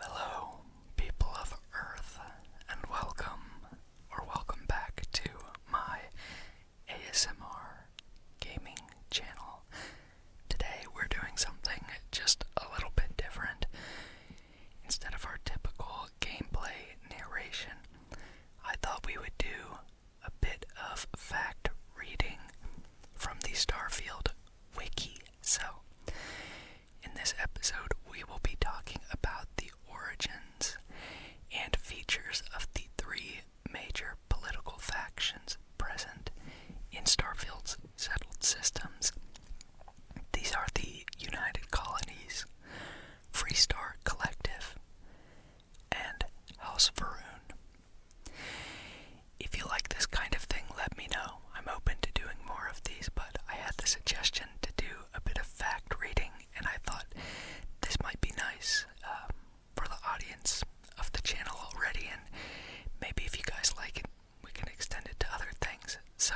Hello, people of Earth, and welcome or welcome back to my ASMR gaming channel. Today we're doing something just a little bit different. Instead of our typical gameplay narration, I thought we would do a bit of fact reading from the Starfield wiki. So, in this episode, we will be talking about the origins and features of the three major political factions present in Starfield's settled systems. These are the United Colonies, Free Star Collective, and House Varun. If you like this kind of thing, let me know. I'm open to doing more of these, but I had the suggestion to do a bit of fact reading, and I thought this might be nice um, for the audience of the channel already, and maybe if you guys like it, we can extend it to other things. So,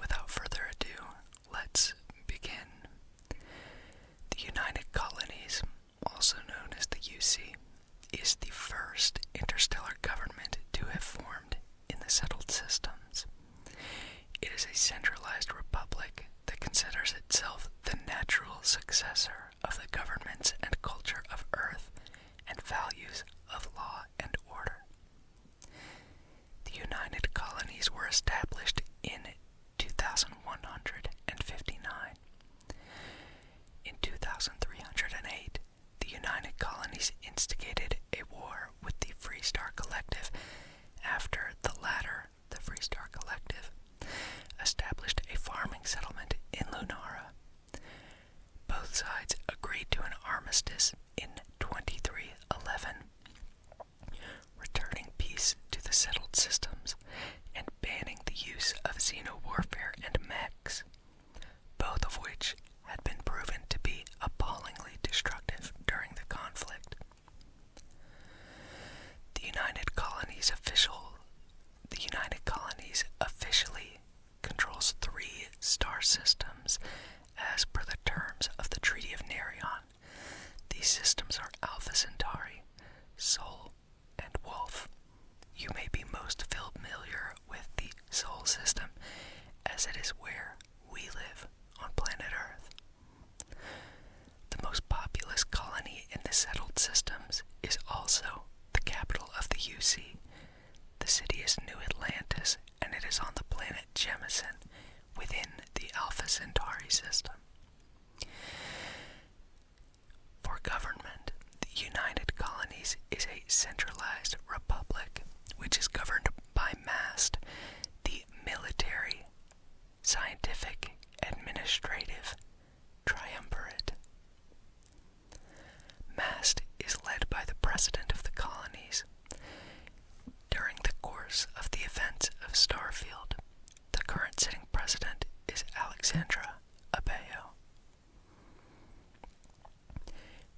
without further ado, let's begin. The United Colonies, also known as the UC, is the first interstellar government to have formed in the settled systems. It is a centralized republic that considers itself the natural successor of the governments and culture of Earth and values of law and order. The United Colonies were established in 2159. In 2308, the United Colonies instigated a war with the Free Star Collective after the latter, the Free Star Collective, established a farming settlement in Lunara. Both sides agreed to an armistice in 2311, returning peace to the settled systems and banning the use of xenowarfare and mechs both of which had been proven to be appallingly destructive during the conflict. The United Colonies officially controls three star systems as per the terms of the Treaty of Narion. These systems are Alpha Centauri, Sol, and Wolf. You may be most familiar with the solar system as it is where we live on planet Earth. The most populous colony in the settled systems is also the capital of the UC. The city is New Atlantis and it is on the planet Jemison within the Alpha Centauri system. For government, the United Colonies is a centralized republic which is governed by MAST, the military, scientific, administrative triumvirate. MAST is led by the president of the colonies. During the course of the events of Starfield, the current sitting president is Alexandra Abejo.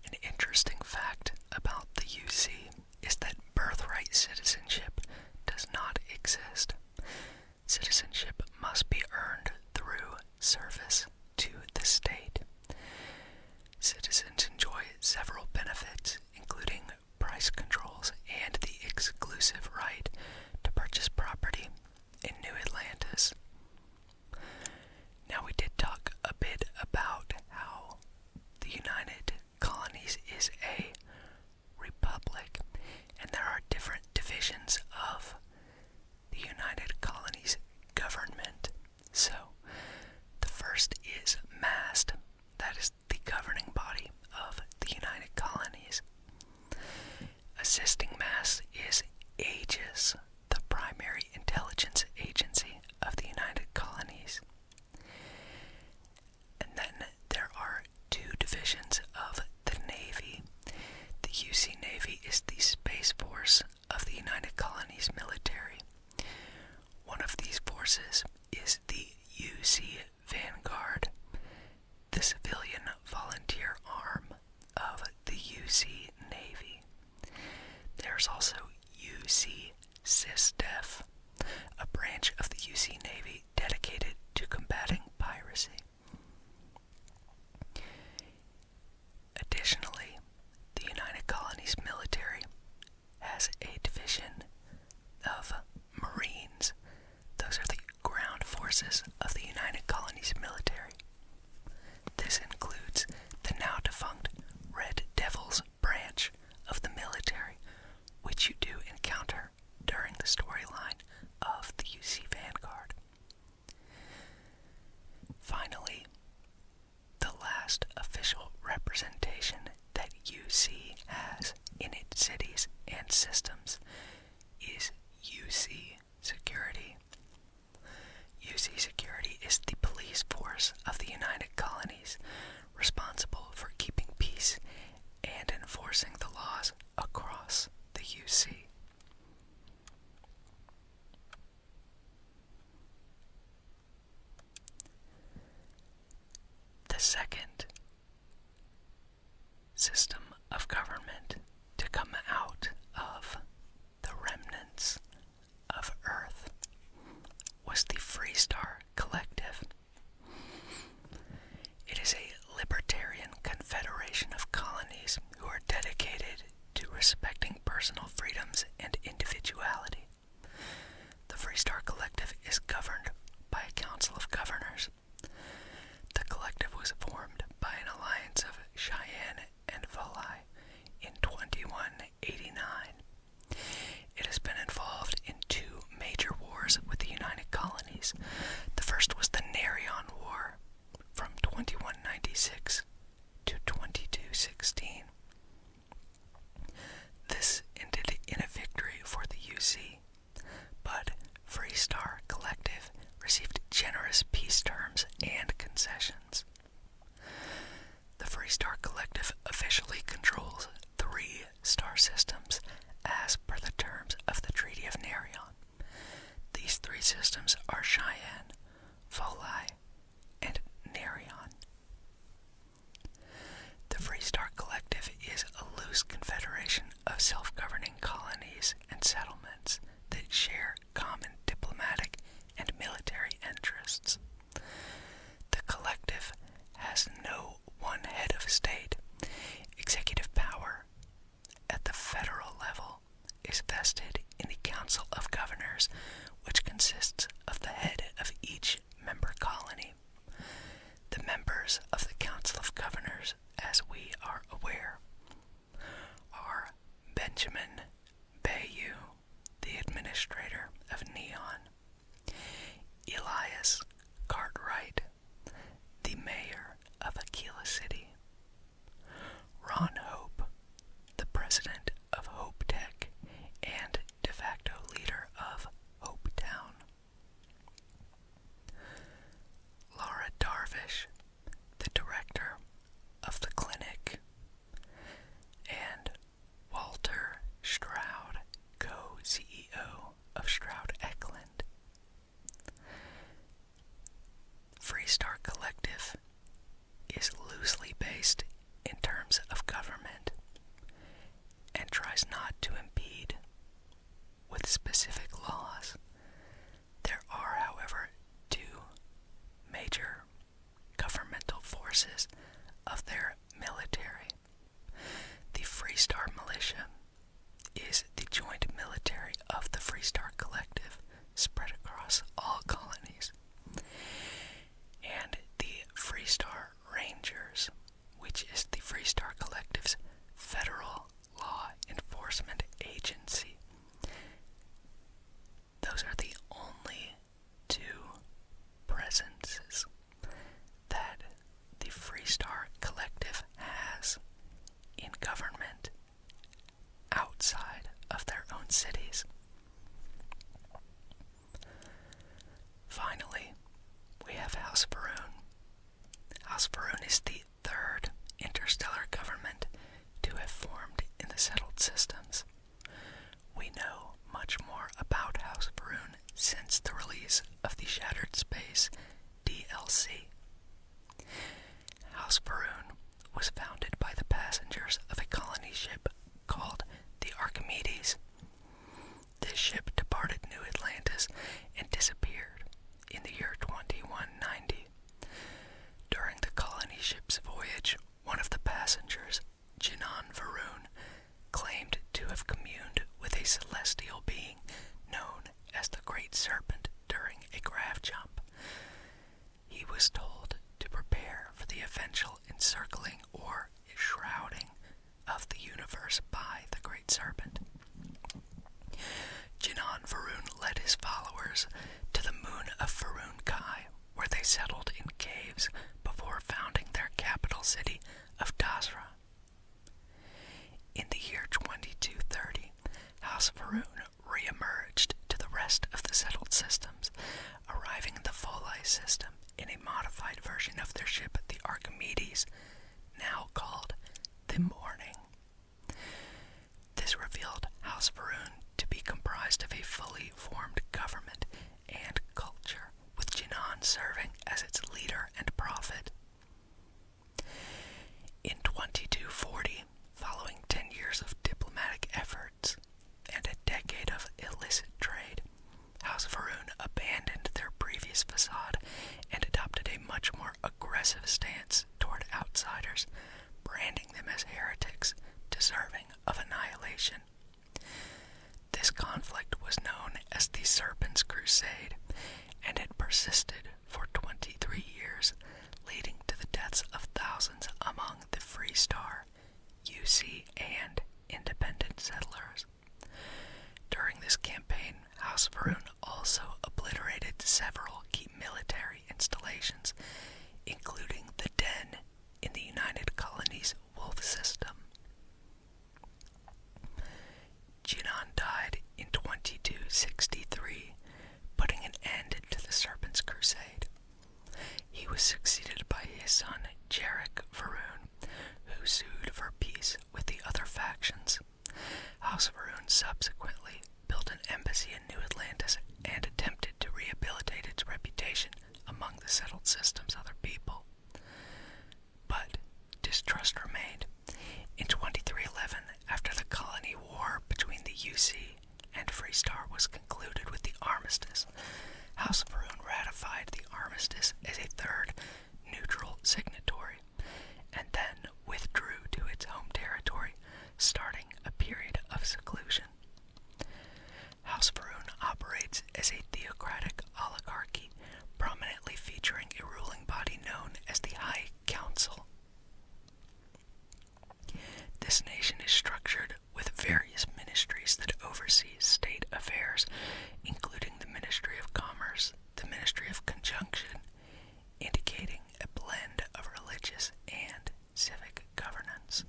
An interesting fact about the UC is that birthright citizenship does not exist. Citizenship must be earned through service to the state. Citizens enjoy several benefits, including price controls and the exclusive right to purchase property in New Atlantis. Now, we did talk a bit about how the United Colonies is a republic, and there are different divisions of the United Colonies government. So, the first is MAST, that is the governing body of the United Colonies. Assisting Mass is AGES, the primary intelligence agency of the United Colonies. And then there are two divisions of the Navy. The UC Navy is the Space Force of the United Colonies military. One of these forces is the UC Vanguard, the civilian volunteer arm of the UC Navy. There's also UC SysDef, a branch of the UC Navy dedicated to combating piracy. Additionally, the United Colonies military has a division of Marines those are the ground forces of the United Colonies military. This includes the now defunct Red Devils branch of the military, which you do encounter during the storyline of the UC Vanguard. Finally, the last official representation that UC has in its cities and systems is UC Security. UC Security is the police force of the United Colonies responsible for keeping peace and enforcing the laws across the UC. The second system of government to come out of the remnants of Earth was the Free Star Collective. It is a libertarian confederation of colonies who are dedicated to respecting personal freedoms and individuality. The Free Star Collective is governed by a council of governors the collective was formed by an alliance of Cheyenne and Valai in 2189. It has been involved in two major wars with the United Colonies. The first was the Naryon War from 2196 to 2216. This ended in a victory for the UC but Freestar Collective received generous peace terms and concessions. The Freestar Collective officially controls three star systems as per the terms of the Treaty of Naryon. These three systems are Cheyenne, Folai, and Naryon. The Freestar Collective is a loose confederation of self governing colonies and settlements that share common diplomatic and military interests. The collective has no one head of state. Executive power at the federal level is vested in the Council of Governors, which consists of the head of each member colony. The members of the Council of Governors as we are aware, are Benjamin Bayou, the administrator of Neon, Elias Cartwright, the mayor of Aquila City, Ron Hope, the president of Hope Tech and de facto leader of Hope Town. Laura Darvish, the director of the clinic, and Walter Stroud, co CEO of Stroud Eckland. Freestar Collective is loosely based in terms of government and tries not to impede with specific laws. There are, however, two major governmental forces of their military. The Free Star Militia is the joint military of the Free Star Collective spread across all colonies, and the Free Star Rangers which is the Freestar Collective's federal law enforcement agency. Those are the only two presences that the Freestar Collective has in government outside of their own cities. Finally, we have House Varun. House Varun is the third interstellar government to have formed in the settled systems. We know much more about House Varun since the release of the Shattered Space DLC. House Varun was founded by the passengers of a colony ship called the Archimedes. This ship departed New Atlantis and disappeared in the year 2190. During the colony ship's voyage, one of the passengers, Jinan Varoon, claimed to have communed with a celestial being known as the Great Serpent during a craft jump. He was told to prepare for the eventual encircling or shrouding of the universe by the great serpent. Jinan Varun led his followers to the moon of Varun Kai, where they settled in caves before founding their capital city of Dasra. In the year 2230, House Varun re-emerged to the rest of the settled systems, arriving in the Folai system in a modified version of their ship, the Archimedes, now called the morning. This revealed House Varun to be comprised of a fully formed government and culture, with Jinan serving as its leader and prophet. In 2240, following ten years of diplomatic efforts and a decade of illicit trade, House Varun abandoned their previous facade and adopted a much more aggressive stance toward outsiders, branding them as heretics deserving of annihilation. This conflict was known as the Serpent's Crusade, and it persisted for 23 years, leading to the deaths of thousands among the Free Star, UC, and independent settlers. During this campaign, House Varun also obliterated several key military installations, including the Den in the United Colonies Wolf System. Jinnan died in 2263, putting an end to the Serpent's Crusade. He was succeeded by his son Jarek Varun, who sued for peace with the other factions. House of Arun subsequently built an embassy in New Atlantis and attempted to rehabilitate its reputation among the settled system's other people. But distrust remained. In 2311, after the colony war between the UC and Free Star was concluded with the armistice, House of Arun ratified the armistice as a third neutral signatory, and then withdrew to its home territory, starting a period of seclusion. House Varun operates as a theocratic oligarchy, prominently featuring a ruling body known as the High Council. This nation is structured with various ministries that oversee state affairs, including the Ministry of Commerce, the ministry of conjunction, indicating a blend of religious and civic governance.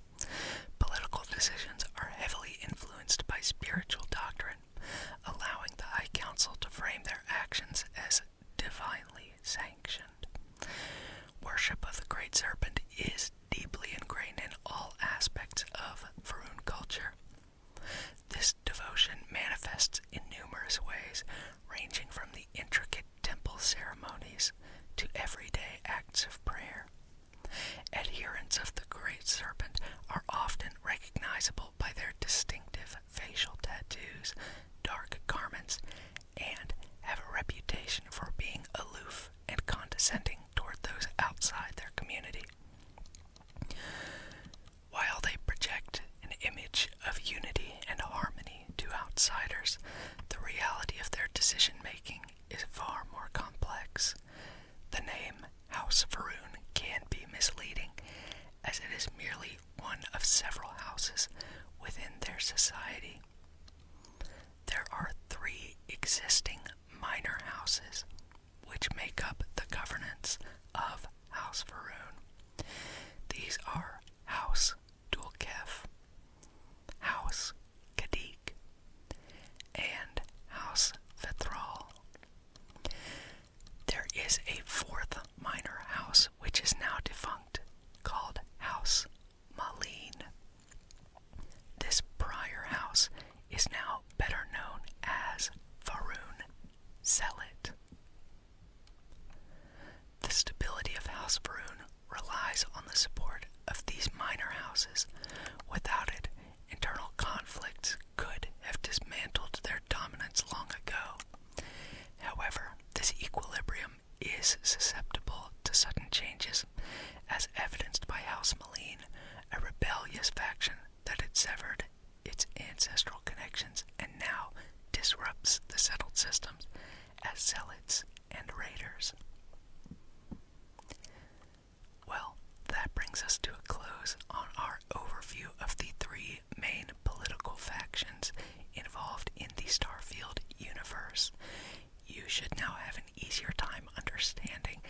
Political decisions are heavily influenced by spiritual doctrine, allowing the High Council to frame their actions as divinely sanctioned. Worship of the Great Serpent is deeply ingrained in all aspects of Varun culture, this devotion manifests in numerous ways, ranging from the intricate temple ceremonies to everyday acts of prayer. Adherents of the Great Serpent are often recognizable by their distinctive facial tattoos, dark garments, and have a reputation for being aloof and condescending toward those outside their community. While they project an image of unity and harmony to outsiders, the reality of their decision making is far more complex. The name House of Varun can be misleading, as it is merely one of several houses within their society. There are three existing minor houses which make up the governance of House Varun. These are House Dulkef, House Kadik, and House Vithral. There is a fourth minor house which is now defunct called House Malene. This prior house is now better known as Faroon Zealot. The stability of House Faroon relies on the support of these minor houses. Without it, internal conflicts could have dismantled their dominance long ago. However, this equilibrium is susceptible to sudden changes, as evidenced by House Moline, a rebellious faction that had severed its ancestral connections and now disrupts the settled systems as zealots and raiders. Well, that brings us to a close on our overview of the three main political factions involved in the Starfield universe. You should now have an easier time understanding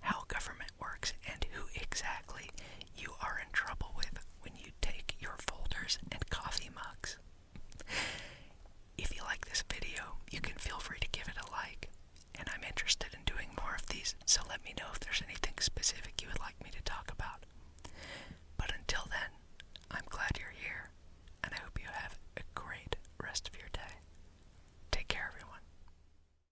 how government works, and who exactly you are in trouble with when you take your folders and coffee mugs. If you like this video, you can feel free to give it a like, and I'm interested in doing more of these, so let me know if there's anything specific you would like me to talk about. But until then, I'm glad you're here, and I hope you have a great rest of your day. Take care, everyone.